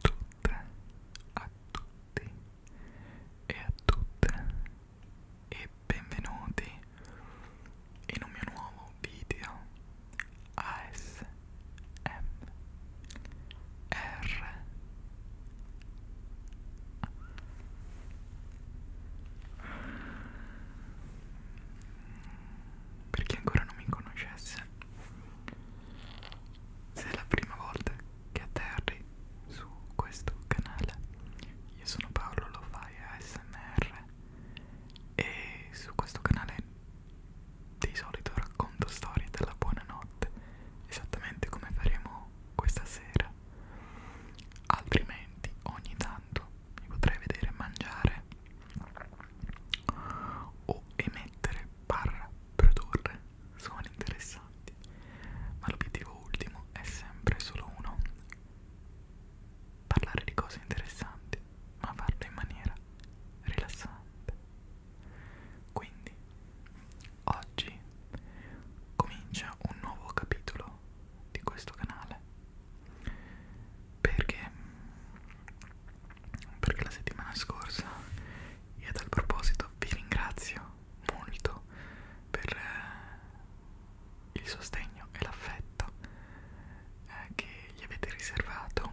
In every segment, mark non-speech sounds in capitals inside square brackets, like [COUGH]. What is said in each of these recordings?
tutte, a tutti e a tutte e benvenuti in un mio nuovo video ASMR per chi ancora non mi conoscesse se è la prima volta che atterri su questo canale, io sono Paolo Lofai ASMR e su questo canale di solito racconto storie della buonanotte, esattamente come faremo questa sera. Altrimenti ogni tanto mi potrei vedere mangiare o emettere barra produrre suoni interessanti, ma l'obiettivo ultimo è sempre solo uno, parlare di cose interessanti, ma farlo in maniera rilassante. Quindi, oggi comincia un nuovo capitolo di questo canale, perché perché la settimana scorsa e a tal proposito vi ringrazio molto per eh, il sostegno e l'affetto eh, che gli avete riservato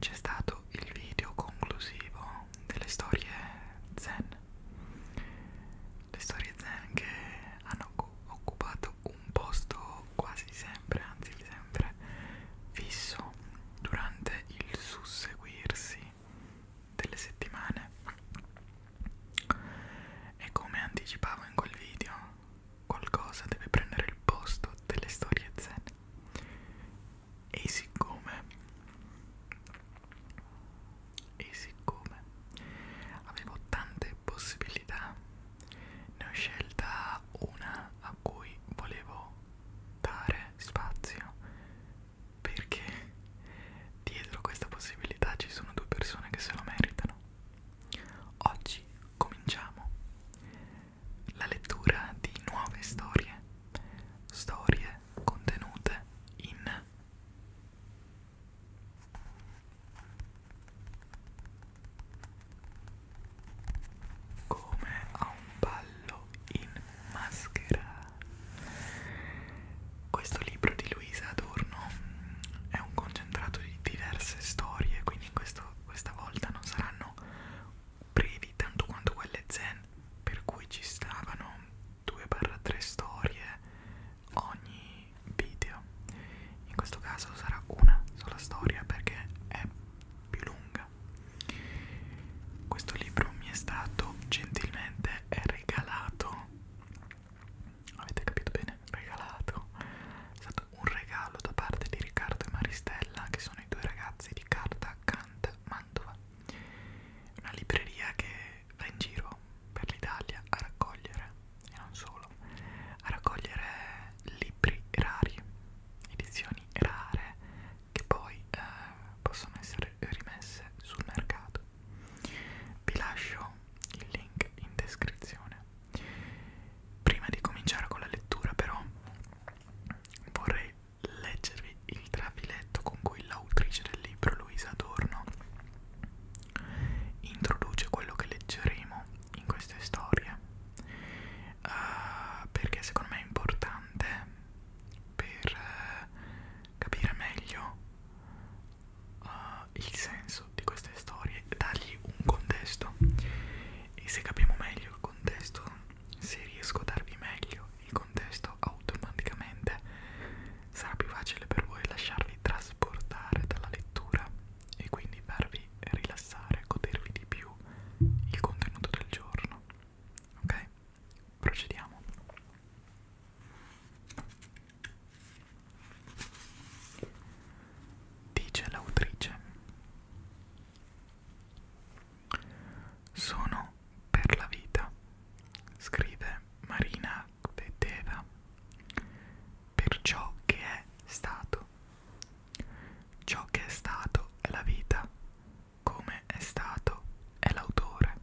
c'è stato il video conclusivo delle storie zen le storie zen che hanno occupato un posto quasi sempre anzi sempre fisso tempo durante il susseguirsi delle settimane e come anticipavo in quel video qualcosa deve prendere il posto delle storie zen e siccome e siccome avevo tante possibilità ne ho scelta una a cui volevo dare spazio perché dietro questa possibilità ci sono due persone che se lo meritano. Oggi cominciamo la lettura di nuove storie, storie contenute in come a un ballo in maschera. Questo libro di Luisa Adorno è un concentrato di diverse storie, quindi questo, questa volta non saranno brevi tanto quanto quelle zen, per cui ci stavano 2-3 storie ogni video. In questo caso sarà una sola storia perché è più lunga lettera. Questo libro mi è stato gentilmente regalato. Avete capito bene? Regalato. È stato un regalo da parte di Riccardo e Maristella, che sono i due ragazzi di Carta Cant Mantova. Una libreria che va in giro per l'Italia a raccogliere, e non solo, a raccogliere libri rari, edizioni rare che poi eh, possono essere rimesse sul mercato. Vi lascio il link in descrizione. Prima di cominciare con la lettura però vorrei leggervi il trafiletto con cui l'autrice del libro Luisa Adorno introduce quello che leggeremo in queste storie uh, perché secondo me è importante per eh, capire meglio uh, il senso di queste storie, dargli un contesto e se capiamo meglio il contesto, se riesco a darvi meglio il contesto automaticamente sarà più facile per voi lasciarvi trasportare dalla lettura e quindi farvi rilassare, godervi di più il contenuto del giorno ok? Procediamo. Dice l'autrice. Sono per la vita, scrive Marina Kveteva, per ciò che è stato. Ciò che è stato è la vita, come è stato è l'autore.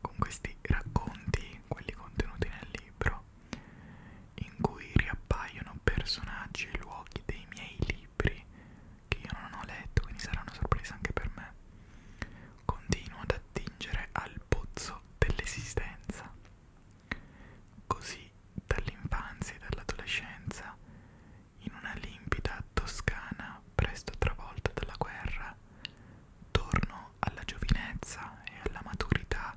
Con questi racconti, quelli contenuti nel libro, in cui riappaiono personaggi e luoghi dei miei libri che io non ho letto, quindi sarà una sorpresa anche per me, continuo ad attingere al pozzo dell'esistenza. Così dall'infanzia e dall'adolescenza in una limpida Toscana presto travolta dalla guerra, torno alla giovinezza e alla maturità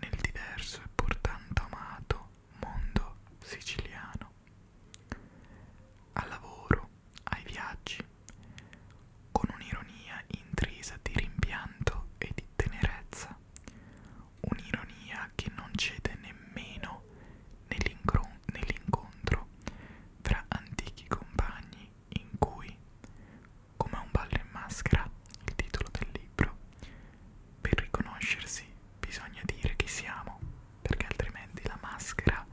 nel diverso e pur tanto amato mondo siciliano. Al lavoro, ai viaggi, con un'ironia intrisa di rimpianto e di tenerezza, un'ironia che non cede nemmeno nell'incontro fra antichi compagni in cui, come un ballo in maschera, il titolo del libro, per riconoscersi bisogna dire chi siamo, perché altrimenti la maschera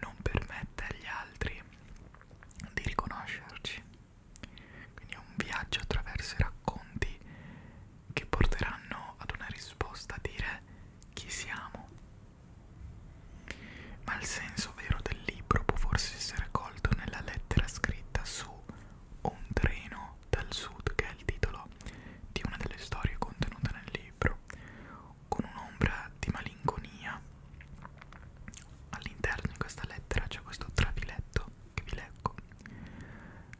non permette agli altri di riconoscerci. Quindi è un viaggio attraverso i racconti che porteranno ad una risposta a dire chi siamo. Ma il senso vero del libro può forse essere colto nella lettera scritta su Un treno dal sud, che è il titolo di una delle storie contenute nel libro, con un'ombra di malinconia. All'interno di questa lettera c'è questo trafiletto che vi leggo.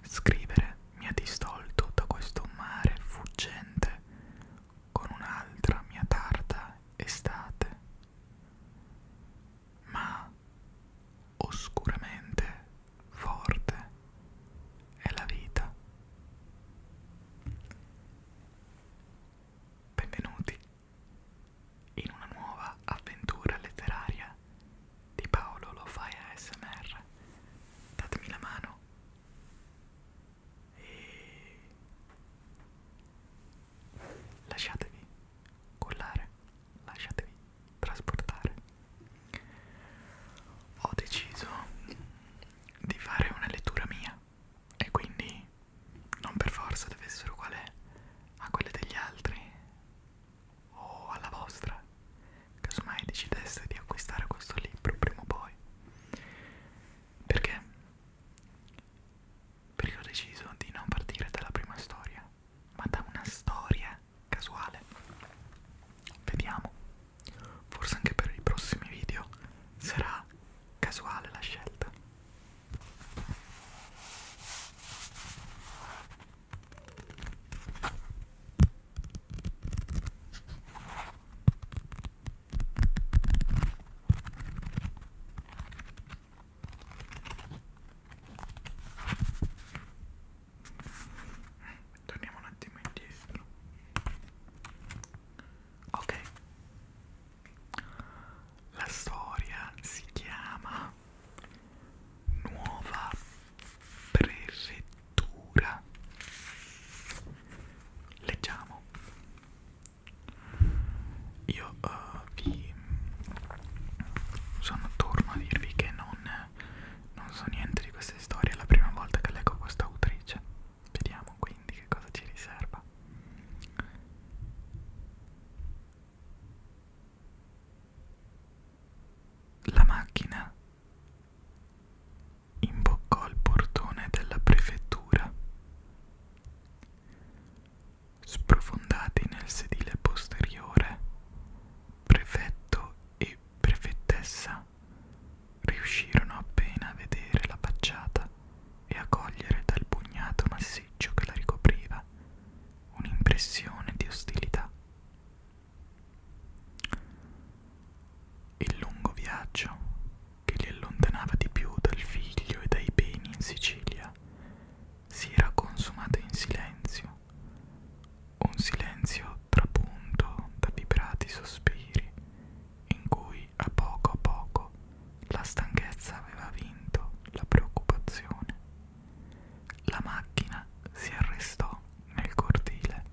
Scrivere mia distolto da questo mare fuggente con un'altra mia tarda estate. Ma oscuramente forte è la vita. Benvenuti in una nuova avventura letteraria di Paolo lo fai ASMR. Datemi la mano. E lasciatevi collare, lasciatevi trasportare. Ho deciso di fare una lettura mia e quindi non per forza deve essere uguale a quelle degli altri o alla vostra, casomai decideste di acquistare questo libro prima o poi. Perché? Perché ho deciso di non partire dalla prima storia, ma da una storia casuale. Vediamo, forse anche per i prossimi video sarà casuale la scelta. Torniamo un attimo indietro. Ok. La storia si chiama Nuova prefettura. Leggiamo. Io uh, vi sono torno a dirvi che non, non so niente di queste storie, è la prima volta che leggo questa autrice. Vediamo quindi che cosa ci riserva. La macchina Imboccò il portone della prefettura. Sprofondati nel sedile posteriore, prefetto e prefettessa riuscirono appena a vedere la facciata e a cogliere dal pugnato massiccio che la ricopriva un'impressione di ostilità. Il lungo viaggio che li allontanava di più dal figlio e dai beni in Sicilia si era consumato in silenzio, un silenzio trapunto da vibrati sospiri in cui a poco a poco la stanchezza aveva vinto la preoccupazione. La macchina si arrestò nel cortile.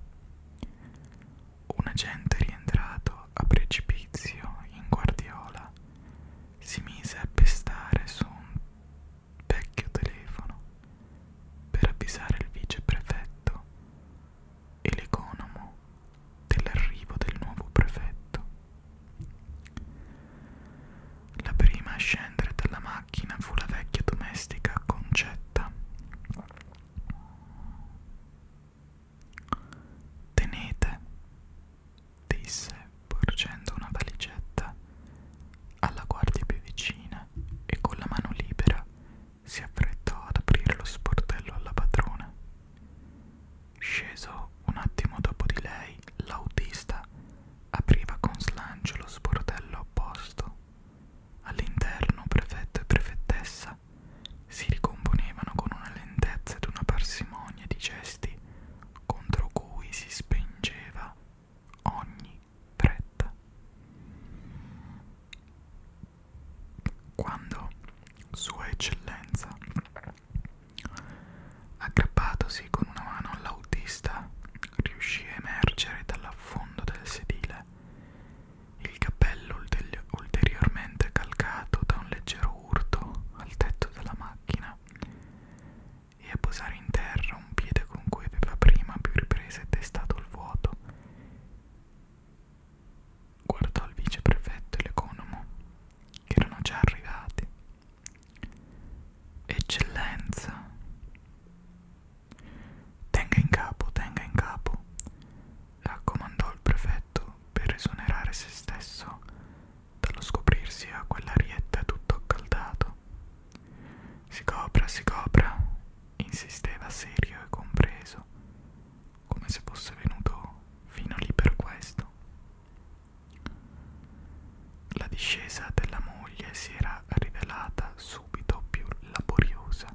Un agente rientrato a precipizio in guardiola si mise a pestare su un vecchio telefono per avvisare il viceprefetto e l'economo dell'arrivo del nuovo prefetto. La prima a scendere dalla macchina fu la vecchia domestica Concetta, Tenete, disse, porgendo una valigetta alla guardia più vicina e con la mano libera si affrettò ad aprire lo sportello alla padrona. Sceso un attimo dopo di lei, l'autista apriva con slancio lo sportello opposto. All'interno prefetto e prefettessa si ricomponevano con una lentezza ed una parsimonia di gesti contro cui si spengeva ogni fretta. Quando Sua Eccellenza, aggrappatosi con una mano all'autista, riuscì a emergere dall'affondo del sedile il cappello ulteriormente calcato da un leggero urto al tetto della macchina e a posare in terra un piede con cui aveva prima più riprese testato il vuoto. Guardò il viceprefetto e l'economo, che erano già arrivati. Eccellenza, Tenga in capo, tenga in capo, raccomandò il prefetto per esonerare se stesso dallo scoprirsi a quell'arietta tutto accaldato. Si copra, si copra, insisteva serio e compreso, come se fosse venuto fino lì per questo. La discesa della moglie si era era rivelata subito più laboriosa.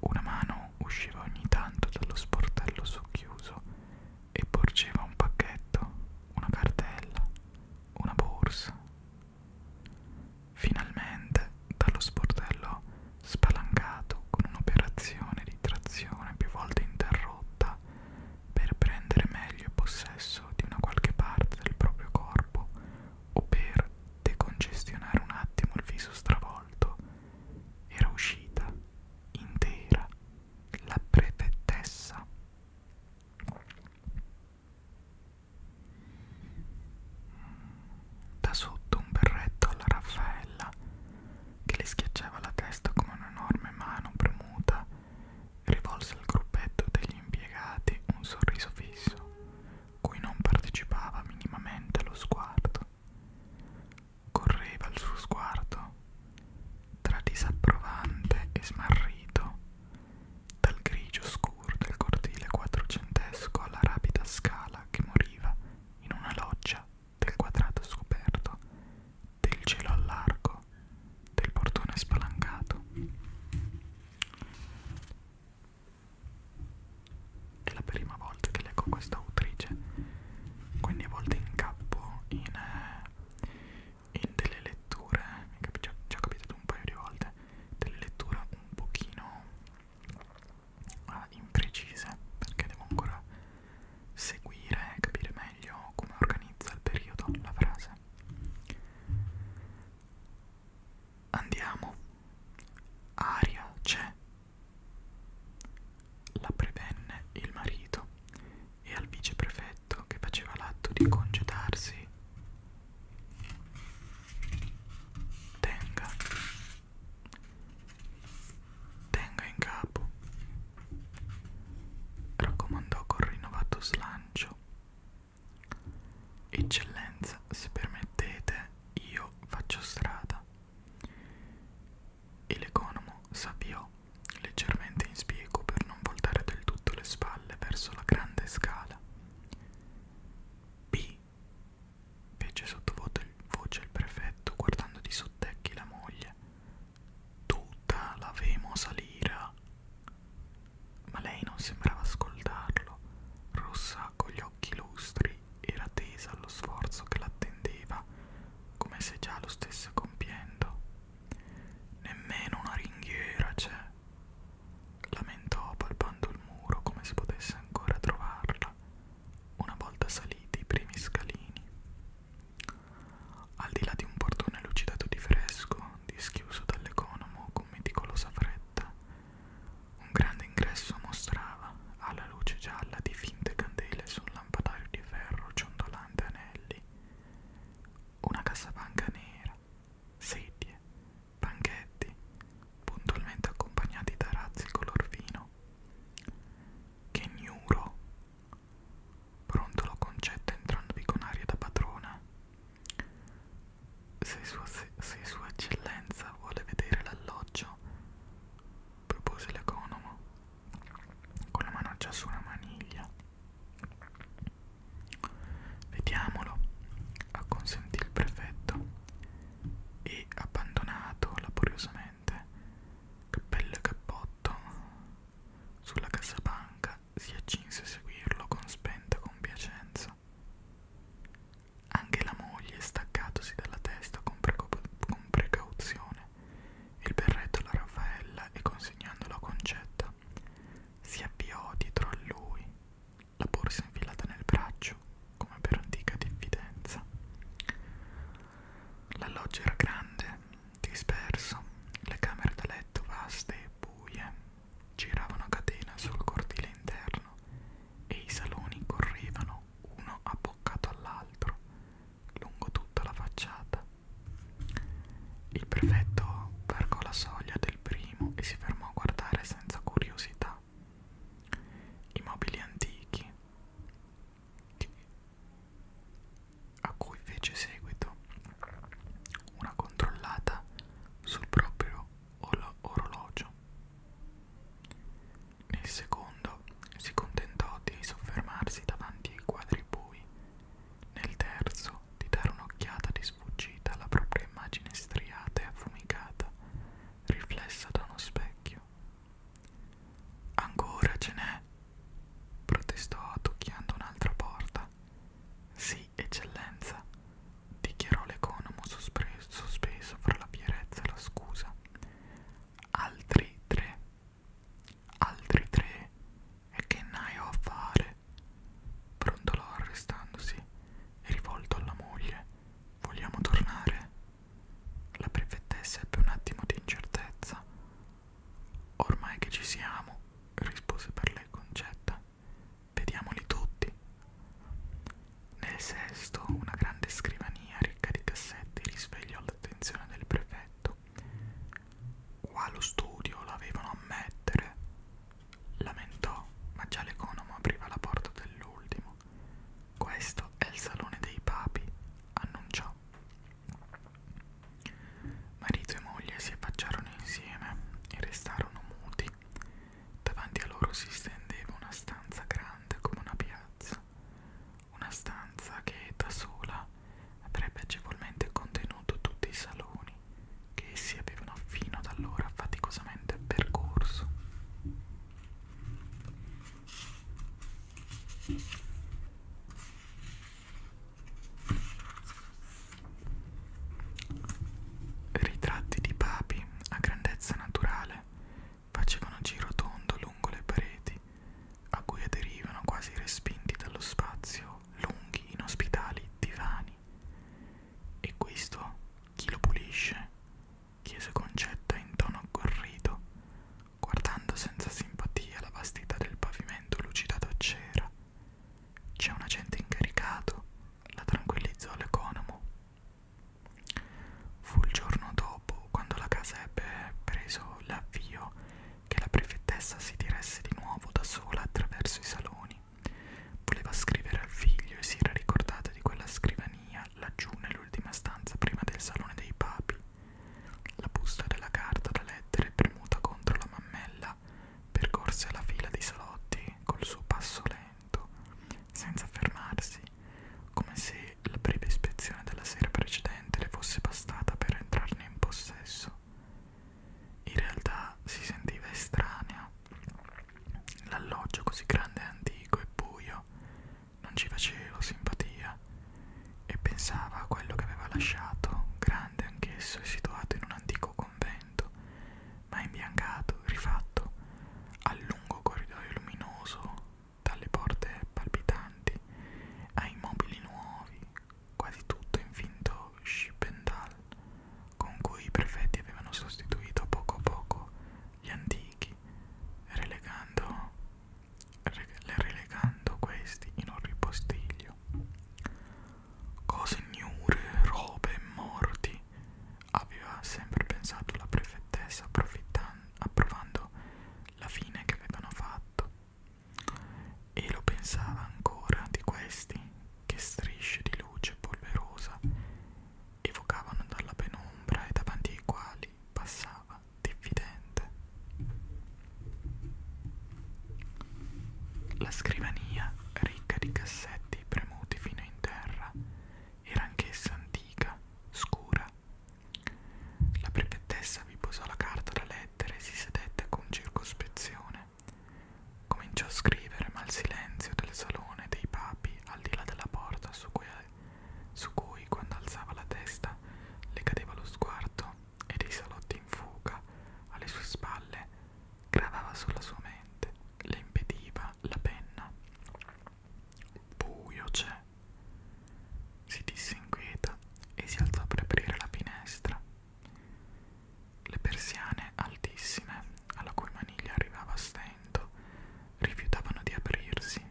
Una mano usciva ogni tanto dallo sportello socchiuso e porgeva un pacchetto, una cartella, una borsa. Finalmente, dallo sportello spalancato con un'operazione di trazione più volte interrotta per prendere meglio possesso di una qualche parte del proprio corpo o per decongestionare un attimo il viso stravolto, era uscita intera la prefettessa. Da sotto un berretto alla Raffaella che le schiacciava la testa come un'enorme mano premuta rivolse al gruppetto degli impiegati un sorriso fisso cui non partecipava minimamente lo sguardo. Correva il suo sguardo tra disapprovante e smarrito, dal grigio scuro del cortile quattrocentesco alla rapida scala che moriva in una loggia del quadrato scoperto, del cielo al largo, del portone spalancato. È la prima volta che leggo questa autrice, quindi a volte incappo in, eh, in delle letture, già, già capitato un paio di volte, delle letture un pochino uh, imprecise, perché devo ancora seguire e capire meglio come organizza il periodo la frase. Andiamo. Aria c'è. La prevenne il marito e al viceprefetto che faceva l'atto di congedarsi. Tenga. Tenga in capo. Raccomandò col rinnovato slancio Eccellenza, se permettete, io faccio strada. E l'economo s'avviò, leggermente in spiego per non voltare del tutto le spalle verso la grande scala. B, fece sottovoce il prefetto guardando di sottecchi la moglie. Tutta la vemo salira ma lei non sembrava ascoltarlo, rossa con gli occhi lustri, era tesa allo sforzo che l'attendeva, come se già lo stesse compiendo. Nemmeno una ringhiera c'è, lamentò palpando il muro come se potesse ancora trovarla, una volta saliti i primi scalini. Al di là di un portone lucidato di fresco, dischiuso dall'economo con meticolosa fretta, fiammetta. Un grande ingresso mostrava, alla luce gialla di finte candele su un lampadario di ferro ciondolante anelli, una cassapanca nera, sedie, banchetti, puntualmente accompagnati da razzi color vino. Che gnuro! Brontolo concette entrandovi con aria da padrona. Se sua, se, se sua eccellenza vuole vedere l'alloggio, propose l'economo, con la manoccia su una maniglia. Vediamolo, acconsentì il prefetto e, abbandonato laboriosamente, cappello e cappotto, sulla cassapanca si accinse a seguirlo con spenta compiacenza. Anche la moglie, staccatosi dalla testa con, con precauzione, il berretto alla Raffaella e consegnandolo a Concetta, si avviò dietro a lui, la borsa infilata nel braccio, come per antica diffidenza. L'alloggio era grande, disperso, le camere da letto vaste e buie, giravano a catena sul cortile interno e i saloni correvano uno abboccato all'altro lungo tutta la facciata. Il prefetto varcò la soglia del primo e si fermò a guardare senza curiosità. I mobili antichi a cui fece seguito una controllata sul proprio orologio. Nel secondo si contentò di soffermarsi davanti ai quadri bui, nel terzo di dare un'occhiata di sfuggita alla propria immagine striata e affumicata, riflessa da uno specchio. Ancora ce n'è? protestò tocchiando un'altra porta. Sì, eccellenza, dichiarò l'economo sospeso fra la fierezza e la scusa. Altri tre, altri tre, e che ne ho a fare? Brontolò arrestandosi e rivolto alla moglie: Vogliamo tornare? La prefettessa ebbe un attimo di incertezza. Ormai che ci siamo, rispose per lei Concetta. Vediamoli tutti. Nel sesto, una grande scrivania ricca di cassetti risvegliò l'attenzione del prefetto. Qua lo studio l'avevano a mettere, lamentò, ma già l'economo apriva la porta dell'ultimo. Questo è il salone dei papi, annunciò. Marito e moglie si affacciarono insieme e restarono muti Davanti a loro si stendeva una stanza grande come una piazza, una stanza che da sola avrebbe agevolmente contenuto tutti i saloni che essi avevano fino ad allora faticosamente percorso. Ritratti di papi a grandezza naturale facevano giro tondo lungo le pareti, a cui aderivano quasi respinti dallo spazio lunghi inospitali divani. E questo chi lo pulisce? chiese Concetta in tono agguerrito, guardando senza simpatia la vastità del pavimento lucidato a cera. C'è un agente incaricato la tranquillizzò l'economo. Fu il giorno dopo, quando la casa ebbe preso l'avvio, che la prefettessa si diresse di nuovo da sola attraverso i saloni. Voleva scrivere al figlio e si era ricordata di quella scrivania laggiù nell'ultima stanza prima del salone dei papi. La busta della carta da lettere premuta contro la mammella percorse la fila dei salotti col suo passo lento lento, senza fermarsi, come se la breve ispezione della sera precedente le fosse bastata per entrarne in possesso. In realtà si sentiva estranea. L'alloggio così grande e antico e buio non ci faceva simpatia e pensava a quello che aveva lasciato, grande anch'esso e situato in un antico convento, ma imbiancato, rifatto, al lungo corridoio luminoso, dalle porte palpitanti, ai mobili nuovi, quasi tutto infinto Schippendal, con cui i prefetti avevano sostituito poco a poco gli antichi, relegando, rele relegando questi in un ripostiglio. Cose ignure, robe, morti, aveva sempre pensato la prefettessa approvando la fine che avevano fatto e lo pensava ancora di questi che strisce di luce polverosa evocavano dalla penombra e davanti ai quali passava diffidente. La scrivania, ricca di cassetti premuti fino rovina in terra era anch'essa antica, scura. La prefettessa vi posò la carta da lettera e si sedette con circospezione. Cominciò a scrivere, ma il silenzio del salone dei papi al di là della porta su cui, su cui quando alzava la testa le cadeva lo sguardo e dei salotti in fuga alle sue spalle gravava sulla sua mente, le impediva penna, la penna. Buio c'è. Si disinquieta e si alzò per aprire la finestra. Le persiane altissime, alla cui maniglia arrivava a stento, rifiutavano di aprirsi.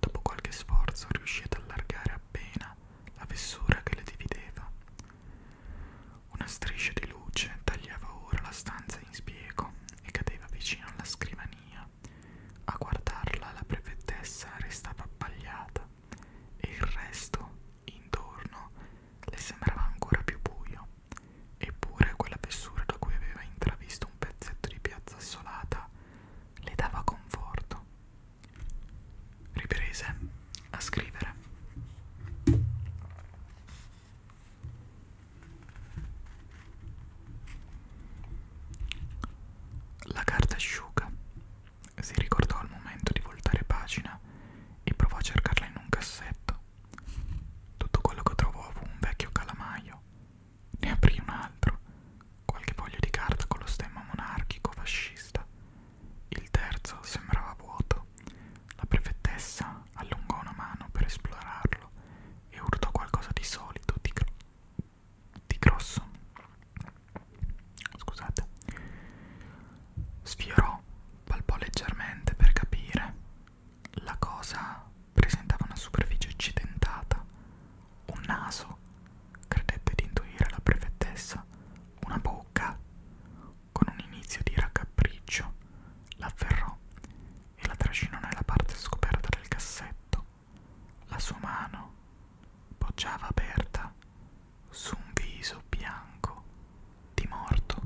Dopo qualche sforzo riuscì ad allargare appena la fessura che le divideva. Una striscia di luce tagliava ora la stanza in spiego e cadeva vicino alla scrivania. A guardarla la prefettessa restava abbagliata e il resto, intorno, le sembrava ancora più buio. Eppure quella fessura da cui aveva intravisto un pezzetto di piazza assolata le dava conforto. Riprese a scrivere. La carta asciuga. Si ricordò al momento di voltare pagina e provò a cercarla in un cassetto. Tutto quello che trovò fu un vecchio calamaio. Ne aprì un altro, qualche foglio di carta con lo stemma monarchico fascista. Il terzo sembrava vuoto. La prefettessa allungò una mano per esplorarlo e urtò qualcosa di solido, di, gro di grosso. Scusate. Sfiorò, palpò leggermente per capire. La cosa presentava una superficie accidentata, un naso, credette di intuire la prefettessa, una bocca, con un inizio di raccapriccio, l'afferrò e la trascinò nella parte scoperta del cassetto. La sua mano poggiava aperta su un viso bianco di morto.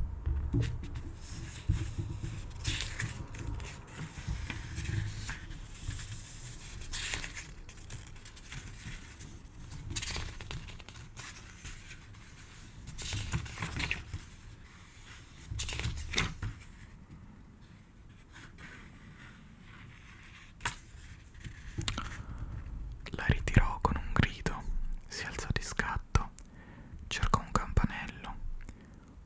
La ritirò con un grido, si alzò di scatto, cercò un campanello.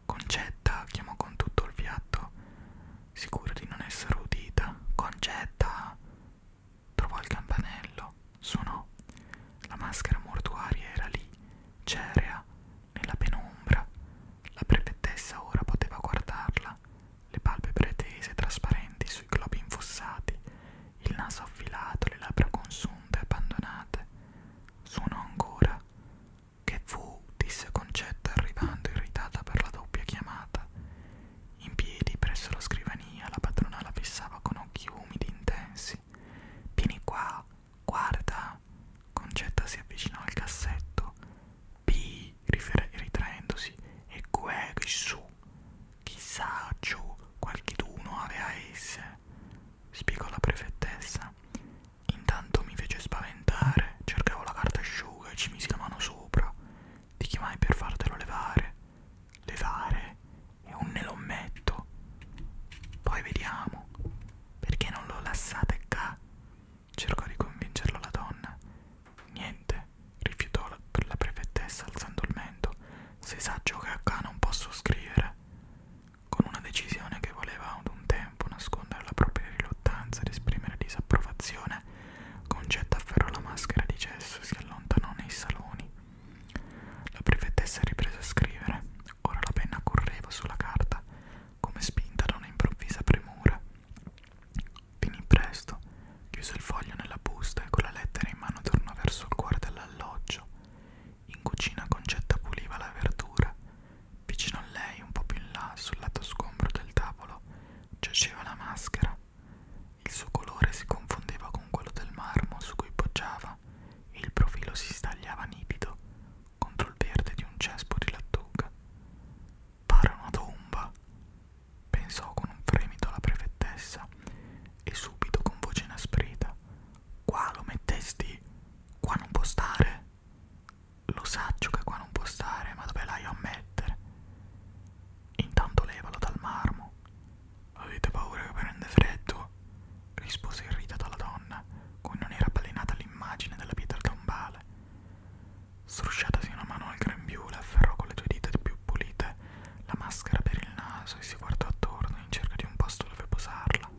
Concetta chiamò con tutto il fiato, sicura di non essere udita. Concetta! Trovò il campanello, Suonò. La maschera mortuaria era lì, cerea, nella penombra. La prefettessa ora poteva guardarla, le palpebre tese trasparenti sui globi infossati, il naso affilato, le labbra consunte e abbandonate. Suonò ancora. Che fu? disse Concetta arrivando irritata per la doppia chiamata. In piedi presso la scrivania la padrona la fissava con occhi umidi intensi. Vieni qua, guarda. Concetta si avvicinò al cassetto. P, ritraendosi, e Queg su. Chissà giù, qualcheduno aveva esse, spiegò la prefettessa. Intanto mi fece spaventare, cercavo la carta asciuga e ci misi la mano sopra. Ti chiamai per fartelo levare. Levare? è un nelommetto. Poi vediamo. Perché non lo lassate qua? Cercò di convincerlo la donna. Niente, rifiutò la, la prefettessa alzando il mento. Se sa giocare qua non posso scrivere. Con una decisione che voleva ad un tempo nascondere la propria riluttanza ed esprimere disapprovazione, Concetta afferrò la maschera di gesso e si allontanò nei saloni. La prefettessa riprese a scrivere. Ora la penna correva sulla carta, come spinta da una improvvisa premura. Finì presto, chiuse il foglio nella busta e con la lettera in mano tornò verso il cuore dell'alloggio. In cucina Concetta puliva la verdura. Vicino a lei, un po' più in là, sul lato sgombro del tavolo, giaceva la maschera. Il suo colore si confondeva con quello del marmo su cui poggiava testa, il profilo si stagliava nitido contro il verde di un cespo di lattuga. Pare una tomba, pensò con un fremito la prefettessa e subito con voce inasprita. Qua lo mettesti? Qua non può stare? Lo saggio che qua non può stare, ma dove l'hai a mettere? Intanto levalo dal marmo Avete paura che prende freddo? rispose irritata la donna, cui non era balenata l'immagine della pietra tombale. Strusciatasi una mano al grembiule, afferrò con le due dita più pulite la maschera per il naso e si guardò attorno in cerca di un posto dove posarla.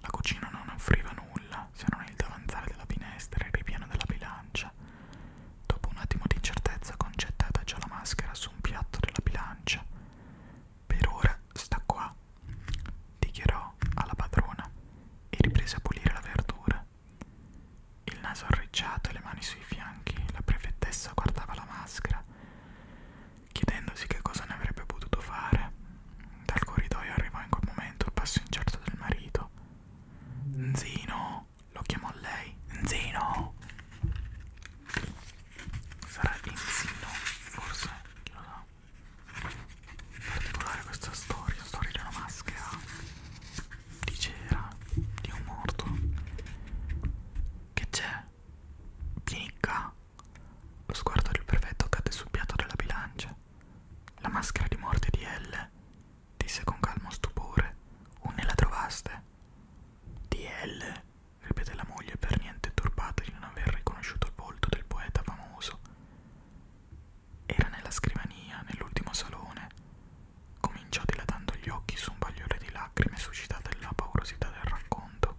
La cucina non offriva nulla se non il davanzale della finestra e il ripiano della bilancia. Dopo un attimo di incertezza, congettata già la maschera su un piatto della bilancia. Per ora sta qua, dichiarò alla padrona e riprese a pulire la verdura. Il naso arricciato e le mani sui fianchi, la prefettessa guardava la maschera, chiedendosi che cosa ne avrebbe potuto fare. Dal corridoio arrivò in quel momento il passo incerto del marito. Zino, lo chiamò lei. Zino! sarà Insino, forse, chi lo sa. In particolare questa storia, storia di una maschera di cera, di un morto. Che c'è? Pinica! Lo sguardo del prefetto cade sul piatto della bilancia. La maschera di morte di L, disse con calmo stupore. Onde la trovaste? Di L, ripete la moglie per niente turbata di non aver riconosciuto il volto del poeta famoso. Era nella scrivania, nell'ultimo salone. Cominciò dilatando gli occhi su un bagliore di lacrime suscitata dalla paurosità del racconto.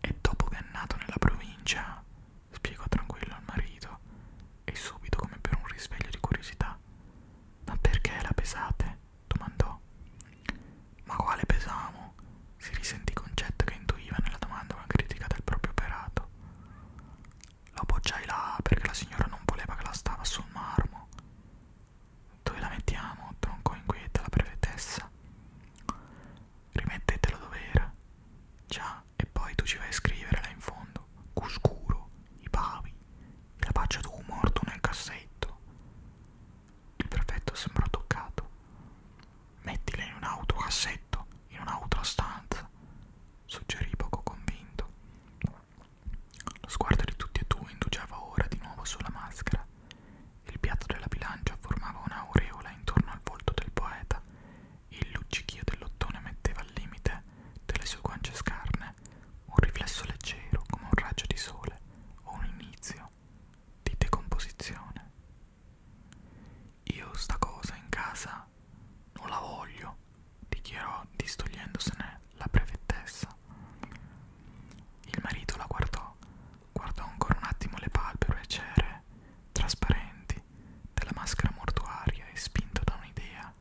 E dopo che è nato nella provincia, spiegò tranquillo al marito, e subito come per un risveglio di curiosità. Ma perché la pesate? domandò. Ma quale pesamo? Si risentì concetto che intuiva nella domanda una critica del proprio operato. Lo appoggiai là perché la signora non voleva che la stava sul marmo. Dove la mettiamo? troncò inquieta la brevetessa. Rimettetelo dove era. Già, e poi tu ci vai a scrivere là in fondo. Cuscuro, i pavi, la faccia tu morto nel cassetto. Perfetto, sembra toccato. Mettila in un autocassetto, in un'altra stanza, suggerì poco convinto. Lo sguardo di tutti e due indugiava ora di nuovo sulla maschera. Il piatto della bilancia formava un'aureola intorno al volto del poeta. Il luccichio dell'ottone metteva al limite delle sue guance scarne un riflesso leggero come un raggio di sole o un inizio di decomposizione. Io sta cosa in casa non la voglio, dichiarò distogliendosene la brevettezza. Il marito la guardò, guardò ancora un attimo le palpebre cere, trasparenti, della maschera mortuaria e spinto da un'idea.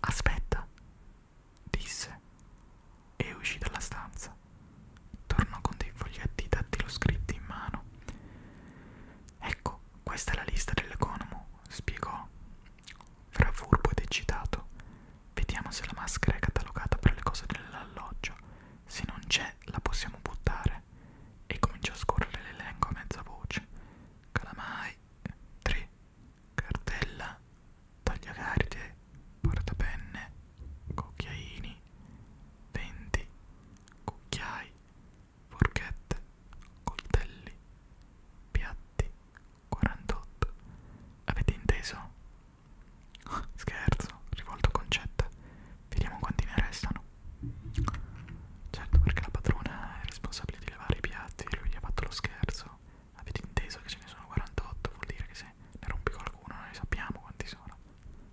Aspetta, disse, e uscì dalla stanza. Tornò con dei foglietti dattiloscritti in mano. Ecco, questa è la lista dell'economo, spiegò, fra furbo ed eccitato. Vediamo se la maschera è catalogata per le cose dell'alloggio. Se non c'è, la possiamo buttare. E cominciò a scorrere l'elenco a mezza voce. Calamai, 3, cartella, tagliacarte, portapenne, cucchiaini, venti, cucchiai, forchette, coltelli, piatti, 48. Avete inteso? [LAUGHS] Scherzo, rivolto concetto. Vediamo quanti ne restano. Certo, perché la padrona è responsabile di lavare i piatti e lui gli ha fatto lo scherzo. Avete inteso che ce ne sono 48, vuol dire che se ne rompi qualcuno ciascuno, noi sappiamo quanti sono.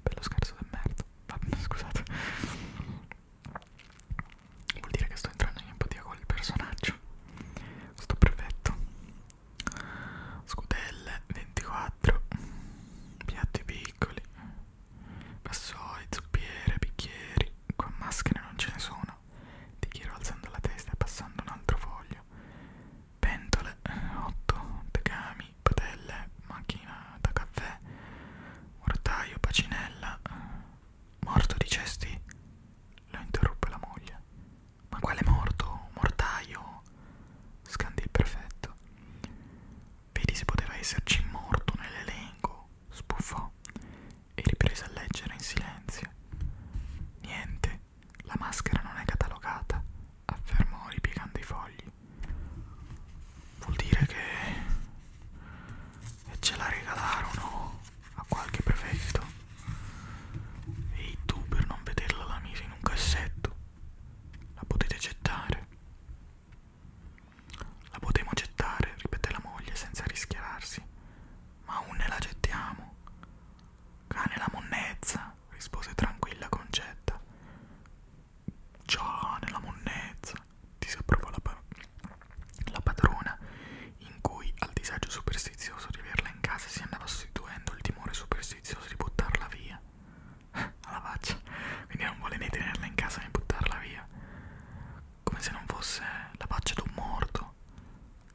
Per lo scherzo del merda. Ah, no, scusate. Vuol dire che sto entrando in empatia con il personaggio. Sto prefetto. Scudelle 24. Piatti piccoli. Vassoi, zuppiere, bicchieri. Qua maschere non ce ne sono. Ti chiedo alzando la testa e passando un altro foglio pentole, 8 eh, tegami, padelle, macchina da caffè, mortaio, pacinella, eh, morto di cesti, lo interruppe la moglie. Ma quale morto? Mortaio? scandì il prefetto. Vedi se poteva esserci morto nell'elenco, sbuffò e riprese a leggere in silenzio. Niente, la maschera non è catalogata, affermò ripiegando i fogli. Vuol dire che ce la regalarono a qualche prefetto e tu per non vederla la mise in un cassetto. La potete gettare. La potremo gettare, ripeté la moglie senza rischiararsi. Ma un ne la gettiamo. Cane la monnezza, rispose tranquilla Concetta. Ciao, nella monnezza, disapprovò la, pa la padrona, in cui al disagio superstizioso di averla in casa si andava sostituendo il timore superstizioso di buttarla via. [LAUGHS] Alla faccia, quindi non vuole né tenerla in casa né buttarla via, come se non fosse la faccia di un morto.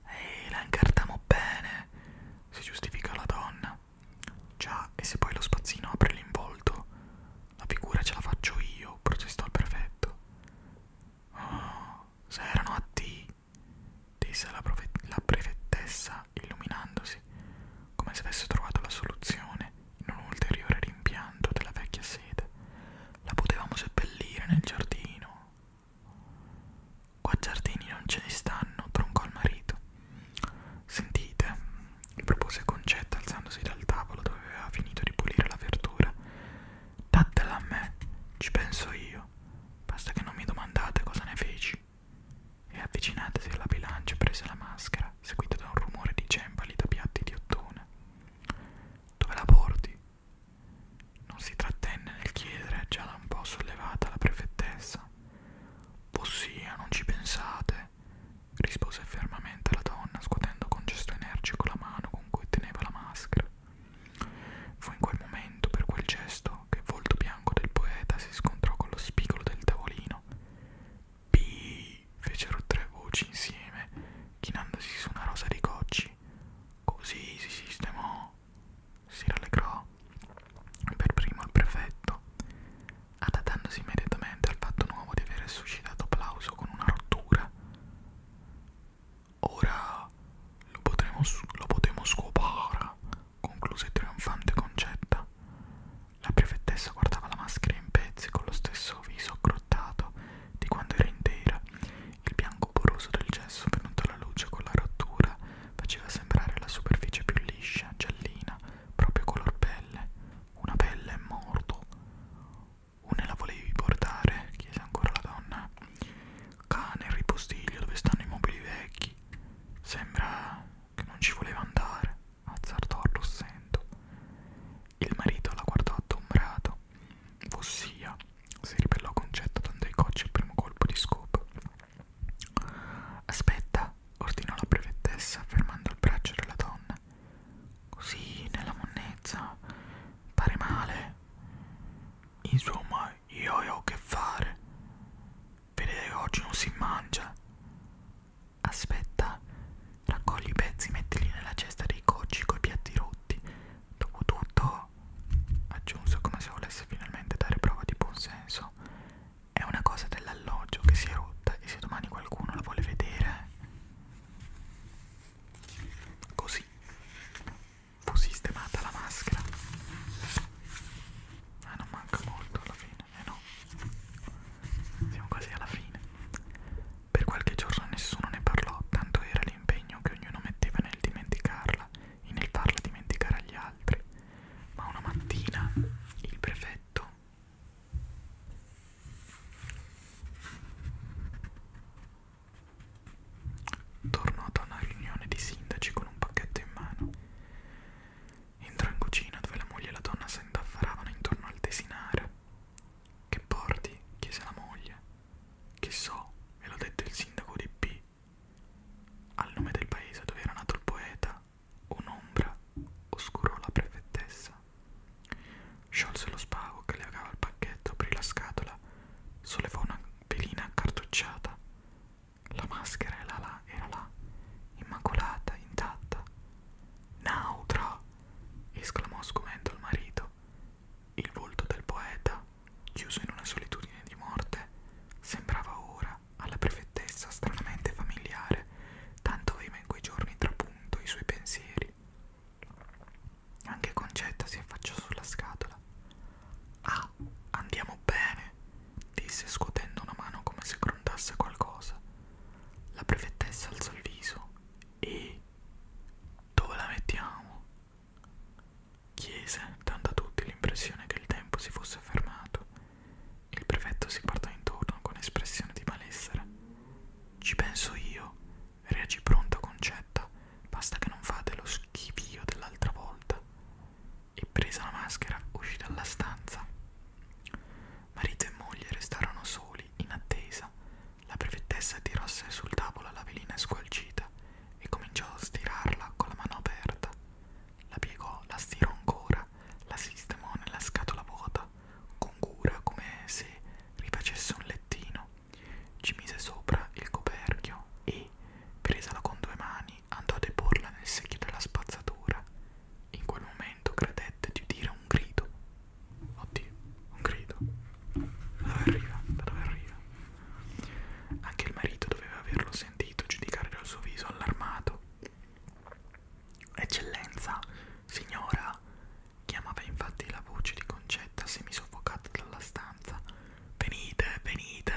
Ehi, la incartamo bene, si giustifica la donna. Già, e se poi lo spazzino apre l'involto? La figura ce la faccio io, protestò il prefetto. Oh, se erano a te, disse la, la prefettessa illuminandosi, come se avesse trovato la soluzione in un ulteriore rimpianto della vecchia sede. La potevamo seppellire nel giardino, Qua giardini non ce ne stanno, troncò il marito. Sentite, propose Concetta alzandosi dal tavolo dove aveva finito di pulire la verdura. Datela a me, ci penso io. Basta che non mi domandate cosa ne feci. E avvicinatesi alla bilancia prese la maschera, seguita da un rumore di cembali da piatti di ottone. Dove la porti? Non si trattenne nel chiedere, già da un po' sollevata la prefettessa. Possia, non ci pensate, rispose fermamente la donna, scuotendo con gesto energico la mano con cui teneva la maschera. Fu in quel momento, per quel gesto, che il volto bianco del poeta si scontrò con lo spigolo del tavolino. Pi! fecero tre voci insieme, chinandosi su una rosa di cocci. Così si sistemò si rallegrò per primo il prefetto, adattandosi immediatamente al fatto nuovo di aver suscitato applauso con una rottura. Ora lo potremo, lo potremo scopare, concluse trionfante Concetta. La prefettessa guardava la maschera in pezzi con lo stesso viso aggrottato di quando era intera. Il bianco poroso del gesso venuto alla luce con la rottura faceva sembrare la superficie più liscia, giallina, proprio color pelle, una pelle morto. Una la volevi portare? chiese ancora la donna. Cane, il ripostiglio dove stanno i mobili vecchi. Sembra che non ci voleva andare, azzardò all'ossento. Il marito la guardò adombrato. Ossia, si ribellò Concetta dando ai cocci il primo colpo di scopo. Aspetta, ordinò la brevettessa fermando il braccio della donna. Così, nella monnezza, pare male. Insomma, io ho che fare. Vedete che oggi non si mangia. Aspetta, raccogli i pezzi, mettili nella cesta dei cocci coi piatti rotti. Dopo tutto, aggiunse come se volesse finalmente dare prova di buonsenso è una cosa dell'alloggio che si è rotta e se domani qualcuno la vuole vedere così fu sistemata la maschera eh, non manca molto alla fine eh no siamo quasi alla fine per qualche giorno nessuno ne parlò tanto era l'impegno che ognuno metteva nel dimenticarla e nel farla dimenticare agli altri ma una mattina il prefetto tornò da una riunione di sindaci con un pacchetto in mano. Entrò in cucina dove la moglie e la donna s'indaffaravano intorno al desinare. Che porti? chiese la moglie. Che so, me l'ha detto il sindaco di P. Al nome del paese dove era nato il poeta, un'ombra oscurò la prefettessa. Sciolse lo spago che legava il pacchetto, aprì la scatola, sollevò una velina accartocciata. La maschera era là, era là, immacolata, intatta. Nautra! esclamò sgomento il marito. Il volto del poeta, chiuso in una solitudine di morte, sembrava ora Anna alla prefettessa stranamente familiare, tanto aveva in quei giorni trapunto i suoi pensieri. Anche Concetta si affacciò sulla scatola. Ah, andiamo bene, disse scuotendo una mano come se grondasse qualcosa. La prefettessa alzò il viso. E dove la mettiamo? chiese, dando a tutti l'impressione che il tempo si fosse fermato. Il prefetto si guardò intorno con espressione di malessere. Ci penso io, reagì pronta Concetta, basta che non fate lo schifio dell'altra volta. E presa la maschera uscì dalla stanza. Marito e moglie restarono soli, in attesa. La prefettessa tirasse sul tavolo la velina squalcita e cominciò a stirarla con la mano aperta. La piegò, la stirò ancora, la sistemò nella scatola vuota, con cura come se rifacesse un lettino. Ci mise sopra il coperchio e, presala con due mani, andò a deporla nel secchio della spazzatura. In quel momento credette di udire un grido. Oddio, un grido. Da dove arriva? Da dove arriva? Anche il marito doveva averlo sentito giudicare dal suo viso allarmato. Eccellenza, signora, chiamava infatti la voce di Concetta semisoffocata dalla stanza. Venite, venite.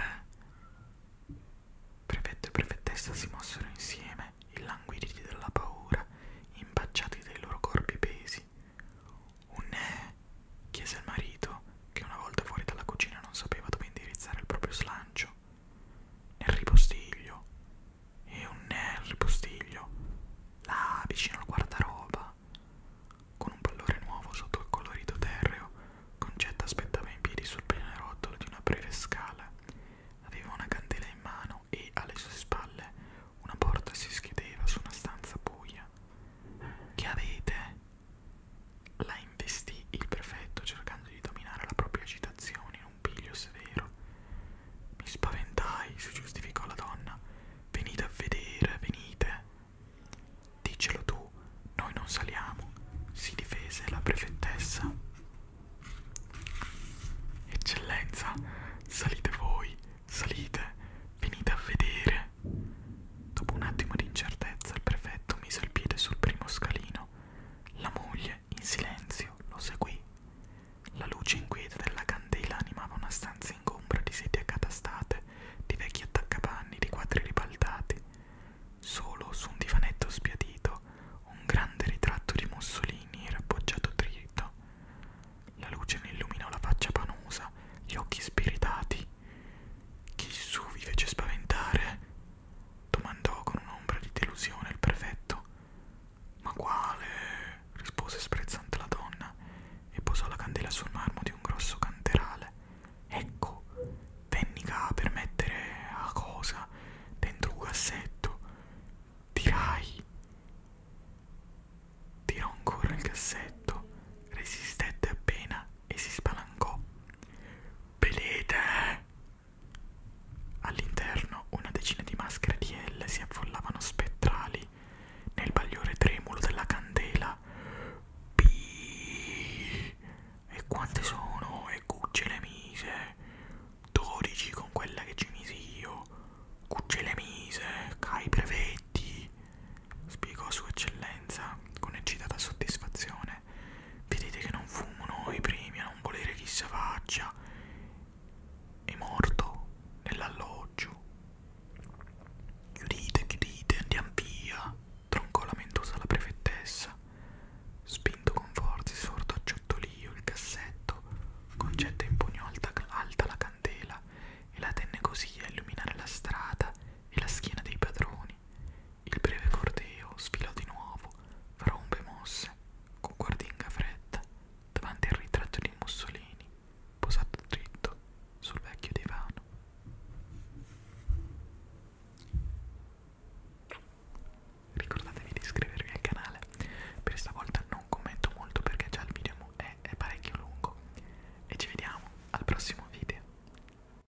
Prefetto e prefettessa si mossero insieme, illanguiditi dalla paura, impacciati dai loro corpi pesi. Un ne? chiese il marito, che una volta fuori dalla cucina non sapeva dove indirizzare il proprio slancio. Nel ripostiglio, e un nel ripostiglio, là vicino al guardaroba. Con un pallore nuovo sotto il colorito terreo, Concetta aspettava in piedi sul pianerottolo di una breve scala. Aveva una candela in mano e alle sue spalle una porta si schiudeva su una stanza buia. Che avete? La investì il prefetto cercando di dominare la propria agitazione in un piglio severo. Mi spaventai, si giustificò la donna. Venite a vedere, venite. Dicelo tu, noi non saliamo, si difese la prefettessa. Eccellenza, salite voi, salite, venite a vedere. Dopo un attimo di incertezza il prefetto mise il piede sul primo scalino. La moglie, in silenzio, lo seguì. La luce inquieta della candela animava una stanza ingombra di sedie accatastate, di vecchi attaccapanni, di quadri ribaltati. Solo su un divanetto sbiadito un grande ritratto di Mussolini era appoggiato dritto. La luce ne illuminò la faccia panosa, gli occhi spiritati. Chi su vi fece spaventare? domandò con un'ombra di delusione il prefetto. Ma quale? rispose sprezzante la donna e posò la candela sul marmo di un grosso canterale. Ecco, venni qua per mettere a cosa dentro un cassetto. Tirai. Tirò ancora il cassetto, resistette appena e si spalancò. Pelete! All'interno una decina di maschere di L si affollavano spettrali nel bagliore tremulo della candela. Piii! E quante sono? E Cucce le mise. 12 con quella che ci misi io. Cucce le mise. Cai brevetti. Spiegò Sua Eccellenza con eccitata soddisfazione vedete che non fumano i primi a non volere chi si faccia è morto nell'alloggio chiudite chiudite andiamo via troncò lamentosa la prefettessa spinto con forza sordo a ciottolio il cassetto concetta impugnò alta, alta la candela e la tenne così a illuminare la strada e la schiena dei padroni mani. Il breve corteo sfilò di nuovo, fra ombre mosse, con guardinga fredda, davanti al ritratto di Mussolini, posato dritto sul vecchio divano. Ricordatevi di iscrivervi al canale, per stavolta non commento molto perché già il video è, è parecchio lungo. E ci vediamo al prossimo video.